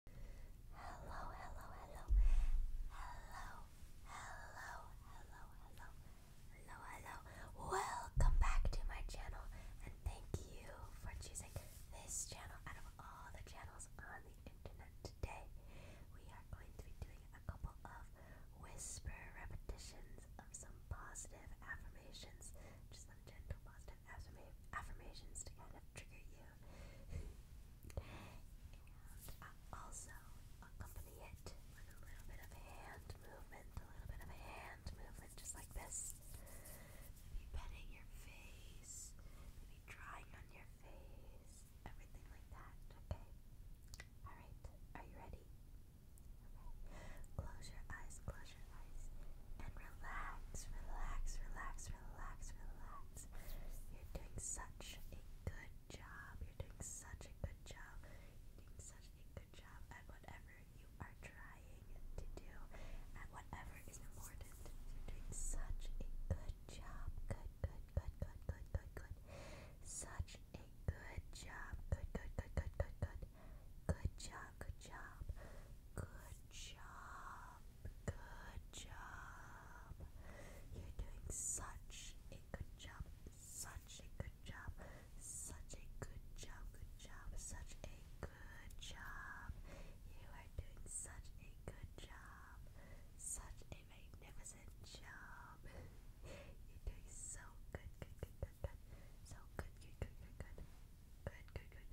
Hello, hello, hello. Hello, hello, hello, hello. Hello, hello. Welcome back to my channel and thank you for choosing this channel out of all the channels on the internet today. We are going to be doing a couple of whisper repetitions of some positive affirmations. Just some gentle positive positive affirmations to kind of trigger you. and uh, also accompany it with a little bit of hand movement, a little bit of hand movement, just like this. Maybe petting your face, maybe drawing on your face, everything like that, okay? Alright, are you ready? Okay. Close your eyes, close your eyes and relax, relax, relax, relax, relax. You're doing such a good job. You're doing such a good job. You're doing such a good job at whatever you are trying to do, at whatever is important. You're doing such a good job. Good, good, good, good, good, good, good. Such a good job. Good, good, good, good, good, good. Good job, good job. Good job. Good job. You're doing such a good job. Such a good job. Such a good job. Good job. Such a good job. You are doing such a good job. Such a magnificent job. You're doing so good. Good, good, good, So good, good, good. Good, good, good,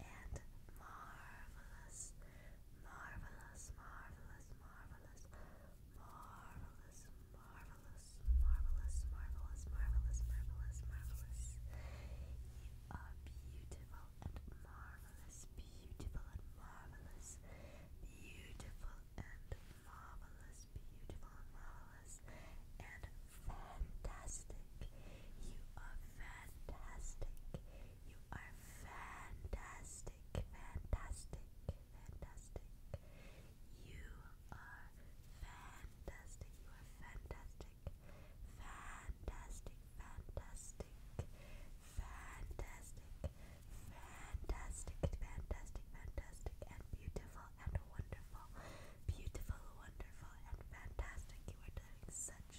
and marvelous, marvelous, marvelous, marvelous, marvelous, marvelous, marvelous, marvelous, marvelous, marvelous, marvelous. You are beautiful and marvelous, beautiful and marvelous, beautiful and marvelous, beautiful and marvelous, and fantastic. You are fantastic. You are fantastic, fantastic, fantastic. You are fantastic. You are fantastic. Fantastic, fantastic. Fantastic, fantastic, fantastic, fantastic, and beautiful and wonderful. Beautiful, wonderful, and fantastic. You are doing such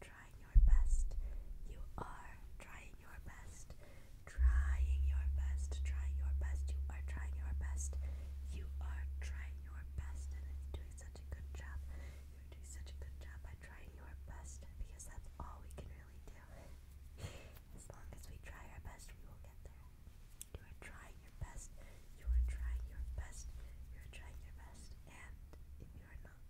trying your best. You are trying your best. Trying your best. Trying your best. You are trying your best. You are trying your best and it's doing such a good job. You're doing such a good job by trying your best because that's all we can really do. as long as we try our best, we will get there. You are trying your best. You are trying your best. You are trying your best. And if you are not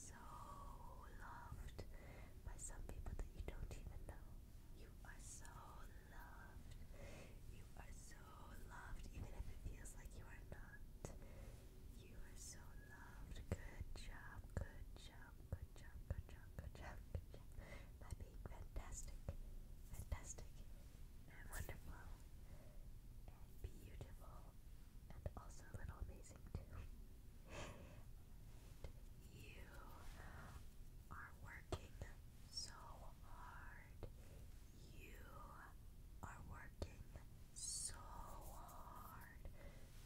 so loved by some people that you don't even know. You are so loved. You are so loved, even if it feels like you are not. You are so loved. Good job, good job, good job, good job, good job, good job. By being fantastic, fantastic, and wonderful, and beautiful, and also a little amazing too you are working so hard. You are working so hard.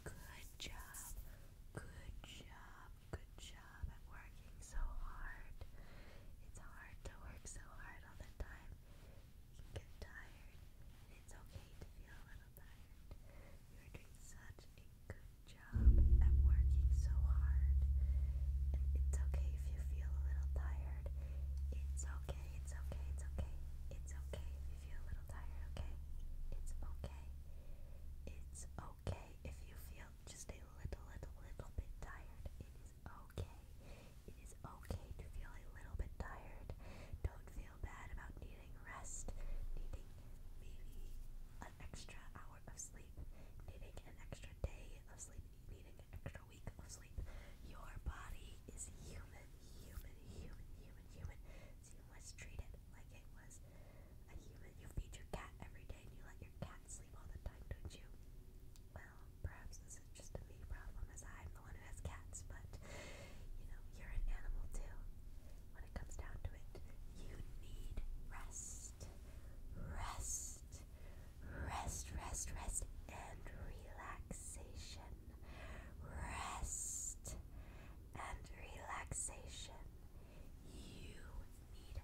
Good job. Good job. Good job at working so hard. It's hard to work so hard all the time. You can get tired, it's okay to feel a little tired. You are doing such a good job at working so hard. it's okay if you feel a little tired. It's okay, it's okay, it's okay. It's okay if you feel a little tired, okay? It's okay. It's okay if you feel just a little, little, little bit tired. It is okay. It is okay to feel a little bit tired. Don't feel feel bad about needing rest, needing maybe an extra hour of sleep, needing an extra day of sleep, needing an extra week of sleep. Your body is human, human, human, human, human. So you must treat it like it was a human. You feed your cat every day and you let your cat sleep all the time, don't you? Well, perhaps this is just a me problem as I'm the one who has cats, but you know, you're an animal too when it comes down to it, you need rest. Rest. Rest, rest, rest, and relaxation. Rest and relaxation. You need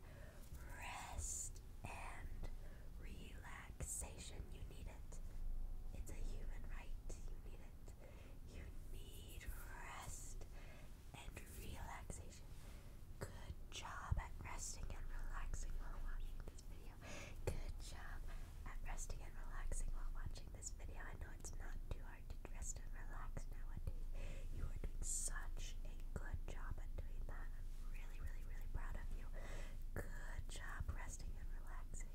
rest and relaxation. You need it. It's a human right. You need it. You need rest and relaxation. Good job at resting and relaxing while watching this video. Good job at resting and relaxing while watching this video. I know it's not too hard to rest and relax nowadays. You are doing such a good job at doing that. I'm really, really, really proud of you. Good job resting and relaxing.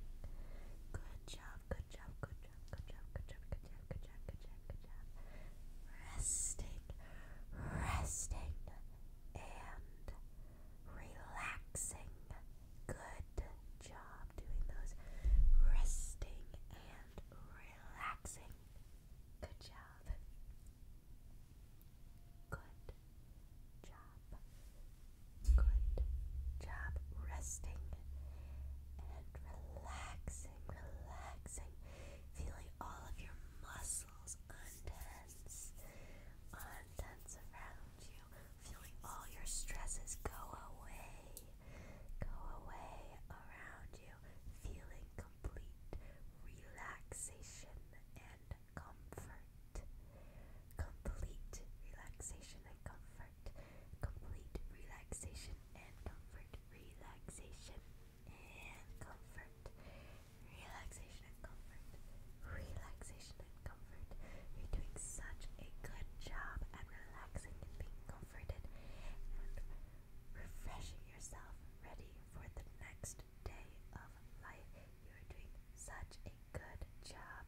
Good job. Good job, good job, good job, good job, good job, good job, good job, Resting, resting, and relaxing. Good job doing those. Resting and relaxing. Good job. Good job. Good job. Resting and relaxing, relaxing, feeling all of your muscles untense, untense around you, feeling all your stresses go away, go away around you, feeling complete relaxation and comfort, complete relaxation and comfort complete relaxation and comfort, relaxation and comfort, relaxation and comfort, relaxation and comfort. You're doing such a good job at relaxing and being comforted and refreshing yourself, ready for the next day of life. You're doing such a good job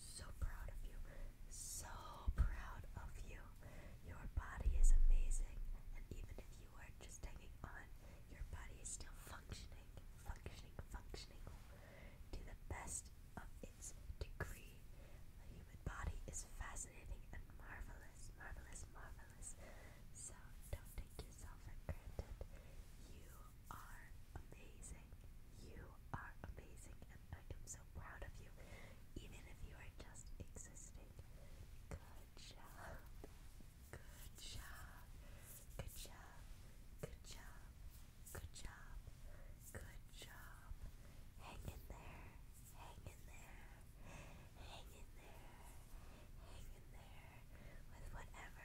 So proud of you. So proud of you. Your body is amazing. And even if you are just hanging on, your body is still functioning, functioning, functioning to the best of its degree. The human body is fascinating and marvelous, marvelous, marvelous. So don't take yourself for granted. You are amazing. You are amazing, and I am so proud of you, even if you are just existing. Good job. Good job. Good job. Good job. Good job. Good job. Hang in there. Hang in there. Hang in there. Hang in there with whatever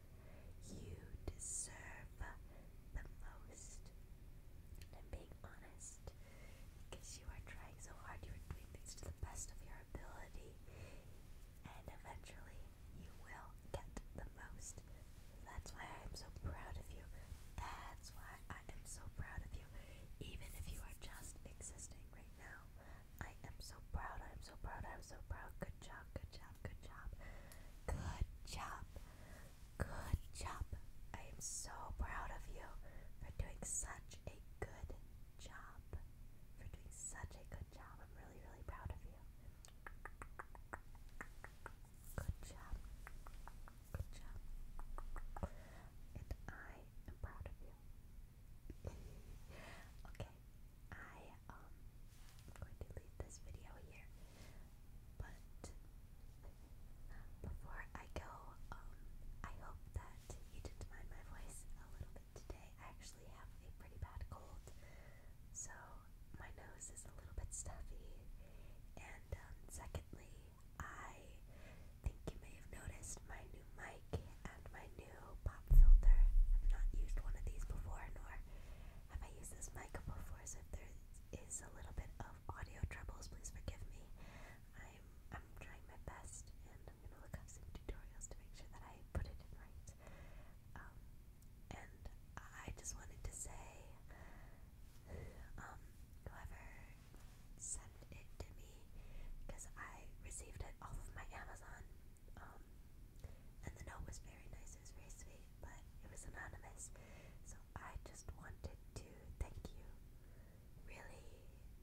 You deserve the most. I'm being honest because you are trying so hard, you are doing things to the best of your ability, and eventually you will get the most. That's why I am so proud of you. That's why I am so proud of you. Even if you are just existing right now, I am so proud. I'm so proud. I'm so proud. Good job. Good job good job, good job, good job. I am so proud of you for doing such a good job. For doing such a good job. I'm really, really proud of you. Good job. Good job. And I am proud of you. okay. I um I'm going to leave this video here. But before I go, um, I hope that you didn't mind my voice a little bit today. I actually have a pretty bad cold, so my nose is a little bit stuffy. And um, secondly, I think you may have noticed my new mic and my new pop filter. I've not used one of these before, nor have I used this mic before, so if there is a little bit of audio troubles, please forgive me. I'm I'm trying my best, and I'm gonna look up some tutorials to make sure that I put it in right. Um, and I just wanted to say, um, whoever sent it to me, because I received it off of my Amazon um, and the note was very nice, it was very sweet, but it was anonymous. So I just wanted to thank you. Really,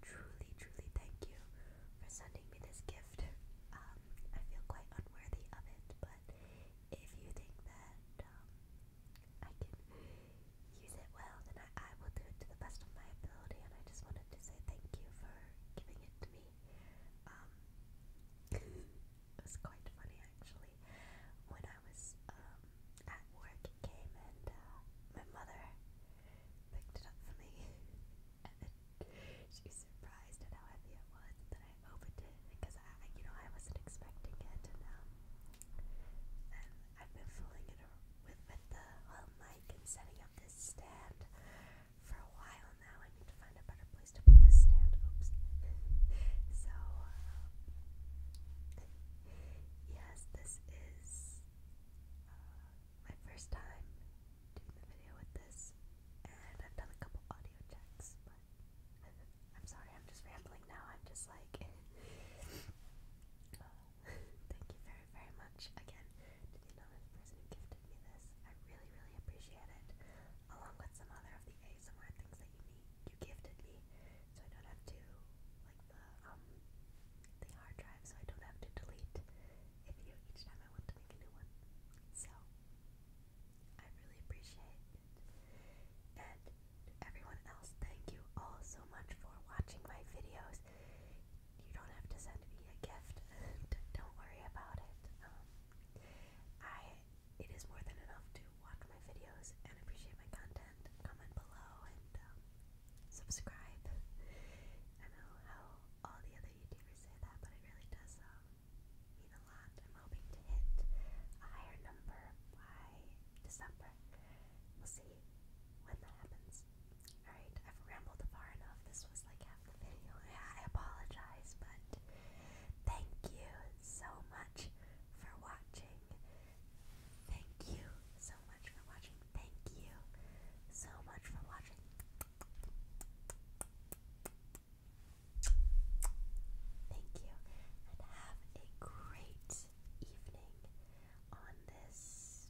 truly, truly thank you for sending me this gift. Um, I feel quite unworthy of it, but if you think that um, I can use it well, then I will do it to the best of my ability. And I just wanted to say thank you for giving it to me. Um, it was quite funny actually. When I was um, at work, it came and uh, my mother picked it up for me, and she surprised at how heavy it was. then I opened it because I, you know, I wasn't expecting it, and um, I've been fooling it with with the mic and setting up this stand for a while now. I need to find a better place to put this stand. Oops. so, um, yes, this is uh, my first time doing the video with this, and I've done a couple audio checks, I'm sorry, I'm just rambling now. I'm just like. Uh, thank you very, very much again to the person who gifted me this. I really, really appreciate it, along with some other of the ASMR things that you you gifted me, so I don't have to, like the um, the hard drive, so I don't have to delete a video each time I want to make a new one. So I really appreciate it, and everyone else, thank you all so much for watching my videos. You don't have to send me a gift. don't worry about it. Um, I it is more than enough to watch my videos and appreciate my content. Comment below and um, subscribe. I know how all the other YouTubers say that, but it really does um, mean a lot. I'm hoping to hit a higher number by December. We'll see when that happens. Alright, I've rambled far enough. This was was like half the video. I apologize, but thank you so much for watching. Thank you so much for watching. Thank you so much for watching. Thank you, and have a great evening on this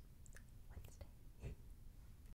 Wednesday.